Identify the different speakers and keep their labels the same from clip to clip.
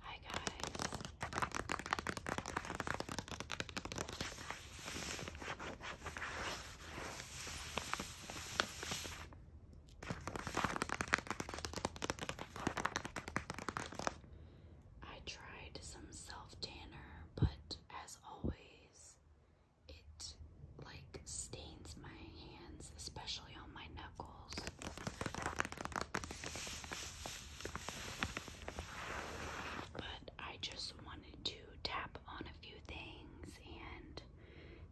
Speaker 1: Hi guys. I tried some self tanner, but as always, it like stains my hands, especially on my nose. But I just wanted to tap on a few things and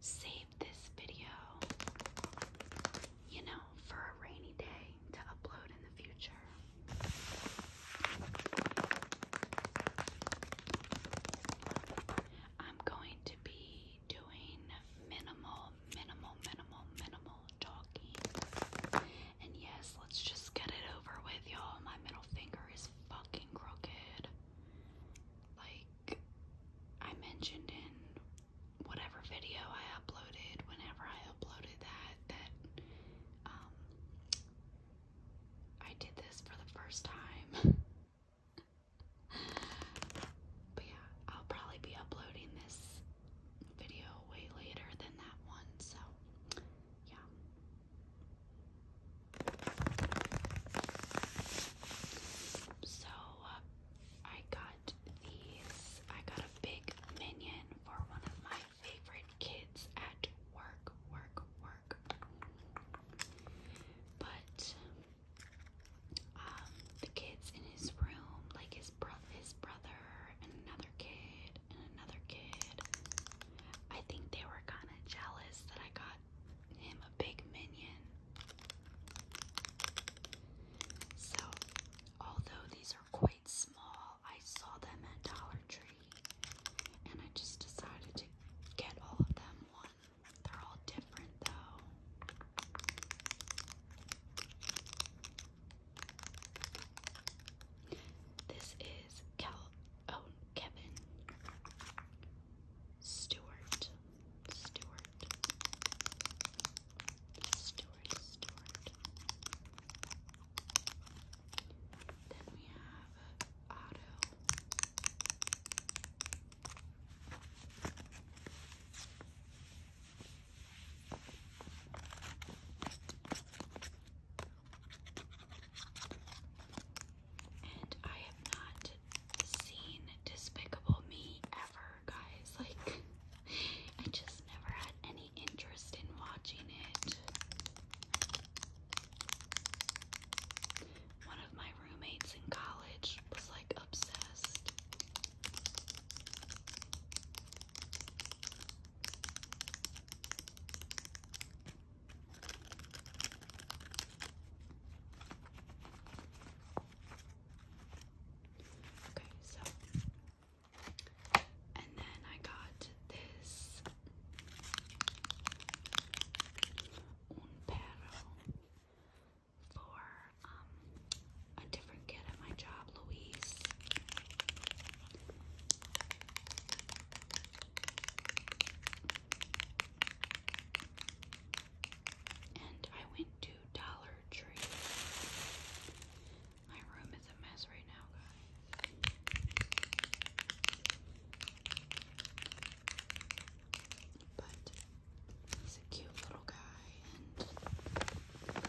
Speaker 1: save this video, you know, for a rainy day to upload in the future. I'm going to be doing minimal, minimal, minimal, minimal talking. And yes, let's just get it over with, y'all. My middle finger is fucking crooked. Like I mentioned in whatever video I uploaded, whenever I uploaded that, that um, I did this for the first time. but yeah, I'll probably be uploading this video way later than that one, so yeah. So uh, I got these. I got a big minion for one of my favorite kids at work, work, work. But um, the kids in his room, like his bro his brother and another kid and another kid. I think they were kind of jealous that I got him a big minion. So, although these are quite small, I saw them at Dollar Tree and I just decided to get all of them one. They're all different though. This is Cal oh Kevin Stewart. Stewart. Stewart Then we have Otto. I have not seen Despicable Me ever, guys. Like, I just never had any interest in watching it. One of my roommates in college was like obsessed. Okay, so and then I got this un for um, a different kid at my job, Louise. And I went to Dollar Tree. My room is a mess right now, guys. But He's a cute little guy. And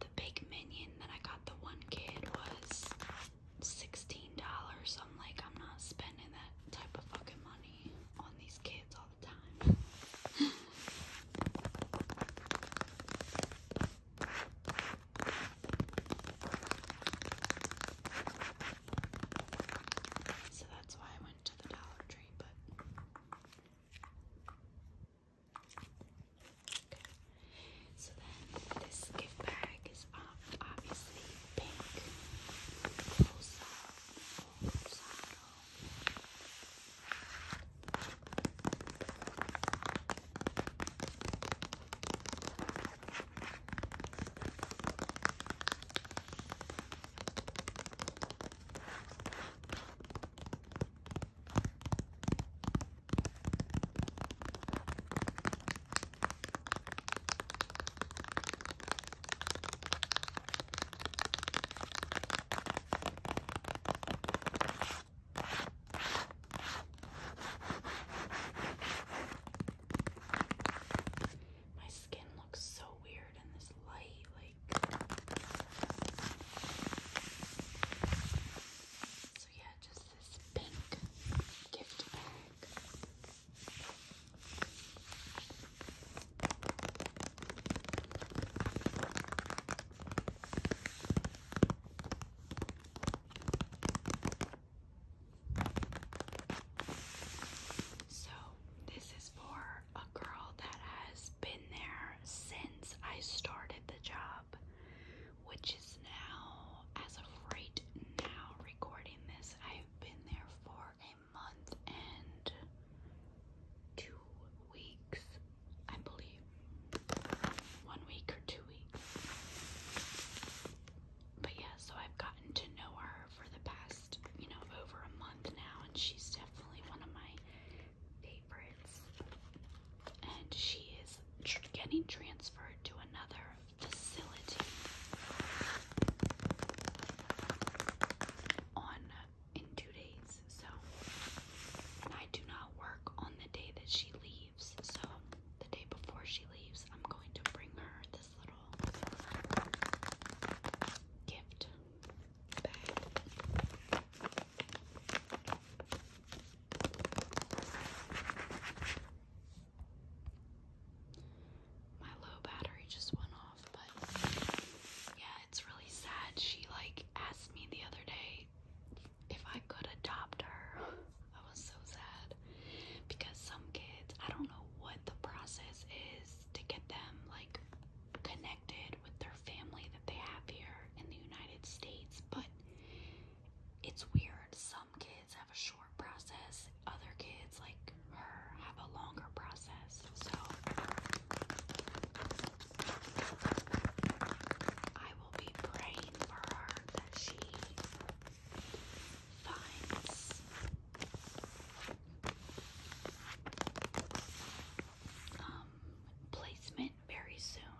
Speaker 1: the big minion that I got the one kid was $16. I'm like, I'm not spending that type of fucking money on these kids all the time. So that's why I went to the Dollar Tree, but so then this gift bag is obviously pink. My skin looks so weird weird in So yeah, just this pink gift bag. So, this is for a girl that has been there since I started the job, which is now, as of right now, recording this, I've been there for a month and two weeks, I believe. One week or two weeks. But yeah, so I've gotten to know her for the past, you know, over a month now, and she's definitely one of my favorites. And she is getting transferred to another facility on in two days. So, I do not work on the day that she leaves. So, the day before she leaves, I'm going to bring her this little gift. My low battery just went off, but yeah, it's really sad. She like asked me the other day if I could adopt her. I was so sad because some kids, I don't know what the process is to get them like connected with their family that they have here in the United States, but it's weird. Some kids have a short process, other kids, like her, have a longer process. So I will be praying for her that she finds um, placement very soon.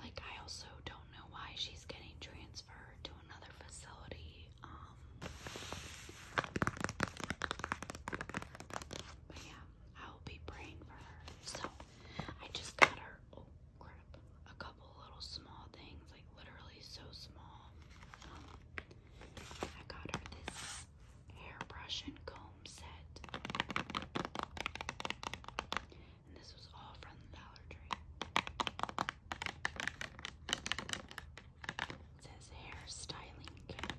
Speaker 1: Like, I also don't know why she's getting transferred to another facility. Um, but yeah, I'll be praying for her. So, I just got her. Oh, crap. A couple little small things, like literally so small. Um, I got her this hairbrush and comb set. And this was all from the Dollar Tree. It says hair styling kit.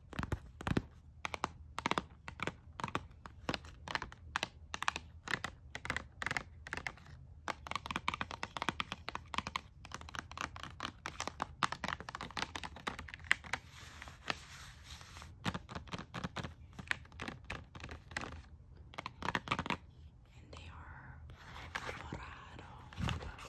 Speaker 1: And they are Colorado purple.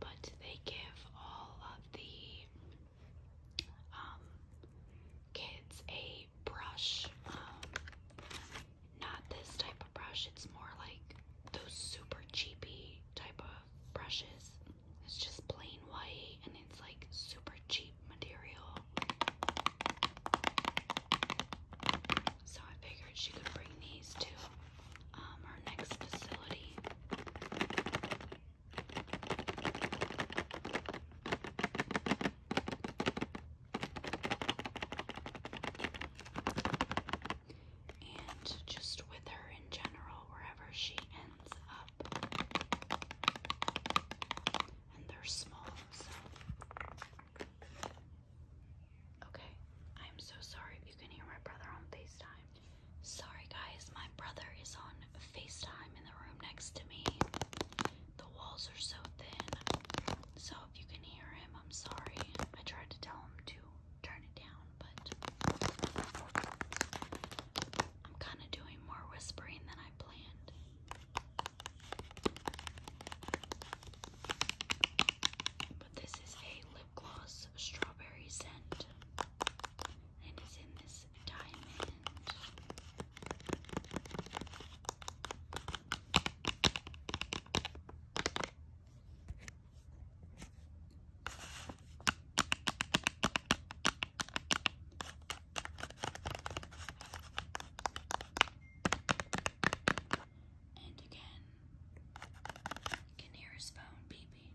Speaker 1: But they give all of the um, kids a brush. Um, not this type of brush, it's more like those super cheapy type of brushes. It's just plain white and it's like super cheap material. So I figured she could bring these to um, next facility and just with her in general, wherever she ends up. And they're small, so. Okay, I'm so sorry if you can hear my brother on FaceTime. Sorry, guys, my brother is on FaceTime in the room next to me. The walls are so thin, so if you can hear him, I'm sorry. I tried to tell him to turn it down, but I'm kind of doing more whispering than I planned. But this is a lip gloss strawberry scent, and it's in this diamond. And again, you can hear his phone beeping.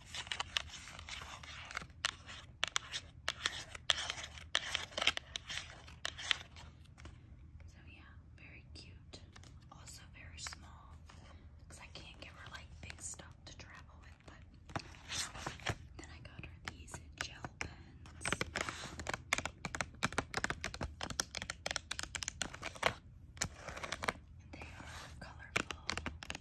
Speaker 1: So yeah, very cute. Also very small. Because I can't give her like big stuff to travel with, but then I got her these gel pens. they are colorful.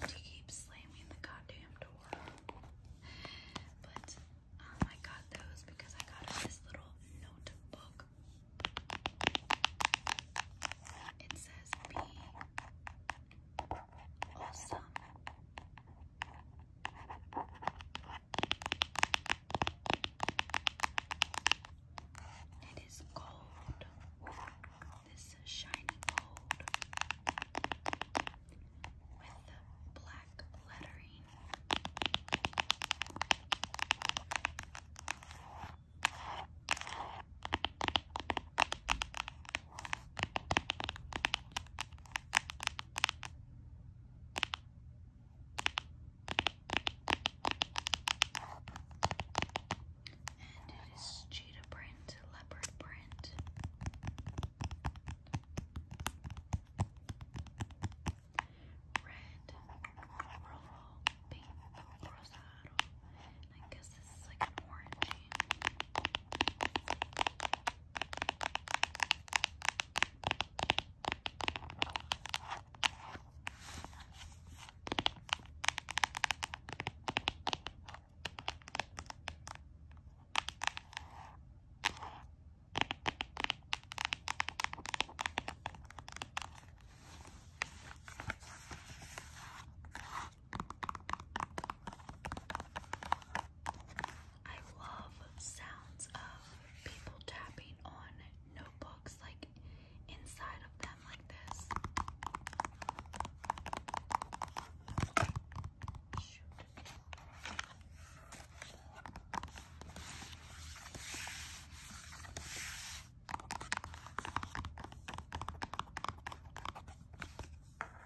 Speaker 1: And he keeps slamming the goddamn door. But I oh got those because I got this little notebook. It says be Awesome. It is gold. This shiny gold with black lettering. And it is cheetah print, leopard print. Red, rojo, pink, rosado, I guess this is like an orangey. I love sounds of people tapping on notebooks like inside of them like this.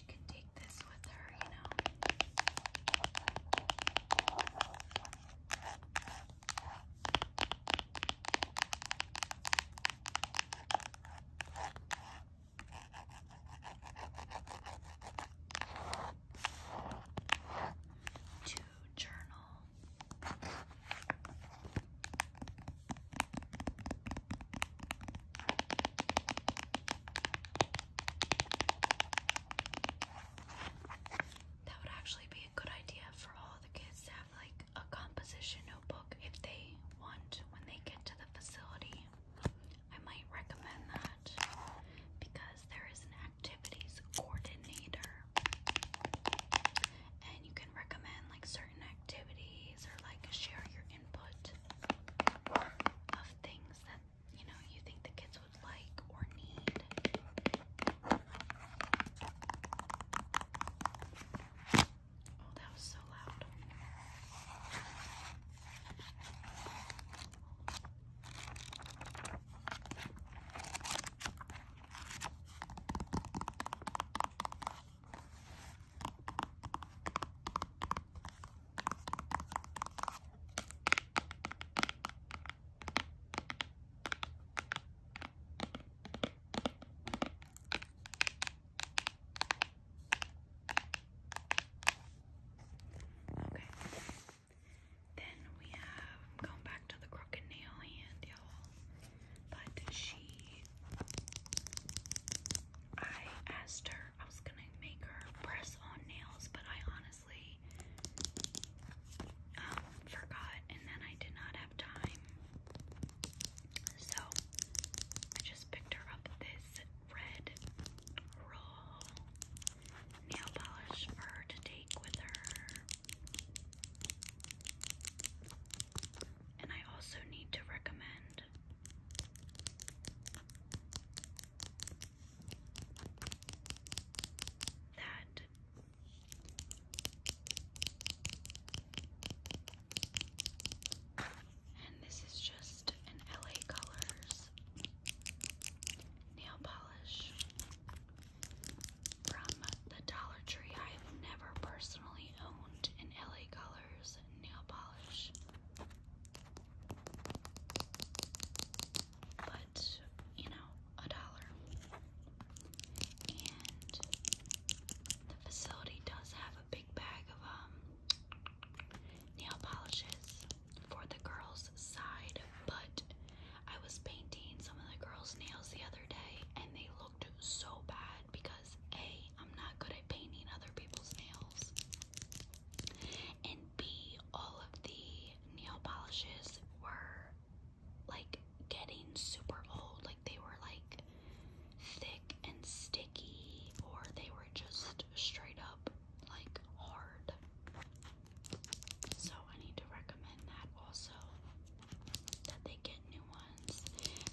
Speaker 1: she can take this with her, you know. To journal. That would actually be a good idea for all the kids to have like a composition notebook if they want when they get to the facility. I might recommend that because there is an activities coordinator and you can recommend like certain activities or like share your input of things that you know you think the kids would like or need. Oh, that was so loud. Okay. Then we have going back to the crooked nail hand, y'all. But she I asked her, I was gonna make her press on nails, but I honestly um, forgot and then I did not have time. So I just picked her up this red roll nail polish for her to take with her. And I also need to recommend that and this is just an LA Colors nail polish from the Dollar Tree. I have never personally owned an LA Colors nail polish but you know, a dollar. And the facility does have a big bag of um nail polishes for the girls' side, but I was painting some of the girls' nails the other day and they looked so bad because because A, I'm not good at painting other people's nails, and B, all of the nail polishes were like getting super old, like they were like thick and sticky, or they were just straight up like hard. So, I need to recommend that also that they get new ones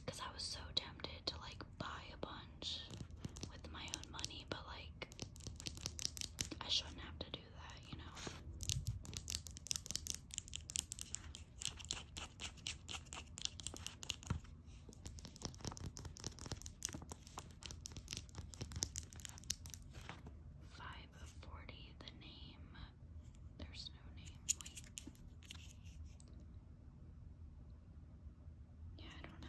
Speaker 1: because I was so tempted to like buy a bunch with my own money, but like I shouldn't have to do that, you know. Five the name there's no name, wait. Yeah, I don't know.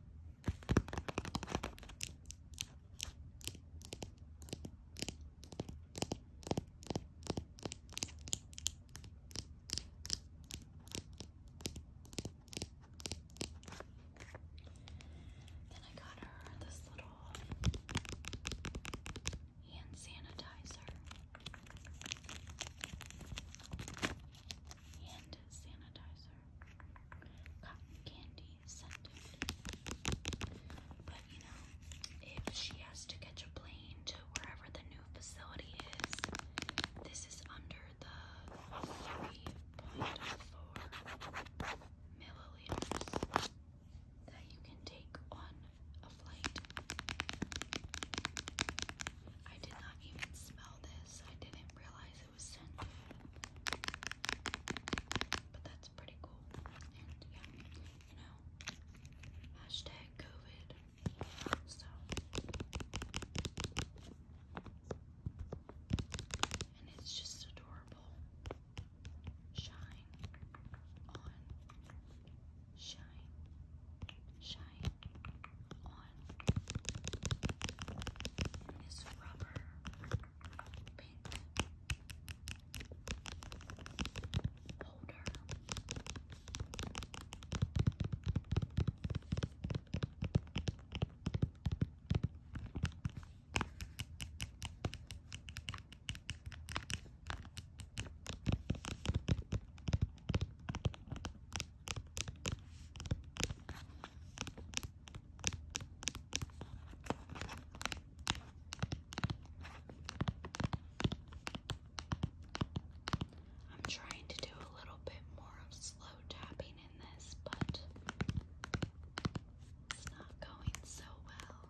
Speaker 1: Then I got her this little hand sanitizer. Hand sanitizer cotton candy scented. But you know, if she has to catch a plane to wherever the new facility is, this is under the 3.4 milliliters that you can take on a flight. I did not even smell this. I didn't realize it was scented. But that's pretty cool. yeah, you know, hashtag COVID. So and it's just adorable. Shine on. Shine. Shine on one is rubber pink holder. I'm trying to do a little bit more of slow tapping in this, but it's not going so well.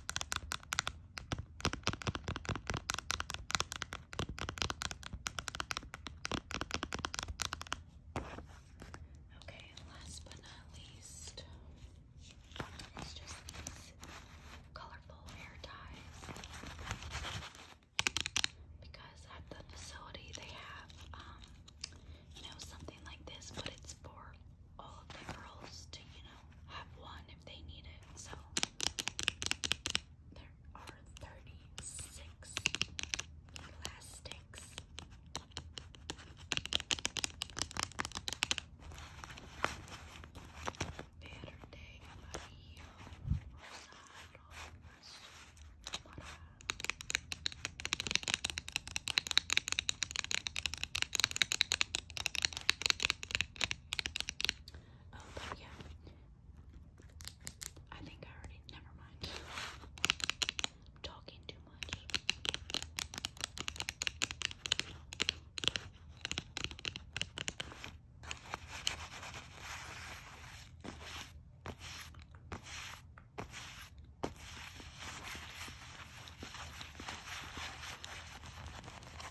Speaker 1: Okay, last but not least, it's just these colorful hair ties. Because at the facility they have, um, you know, something like this, but it's for all of the girls to, you know, have one if they need it. So there are 36 elastics. Verde, amarillo, um, but yeah, I think I already. Never mind. talking too much.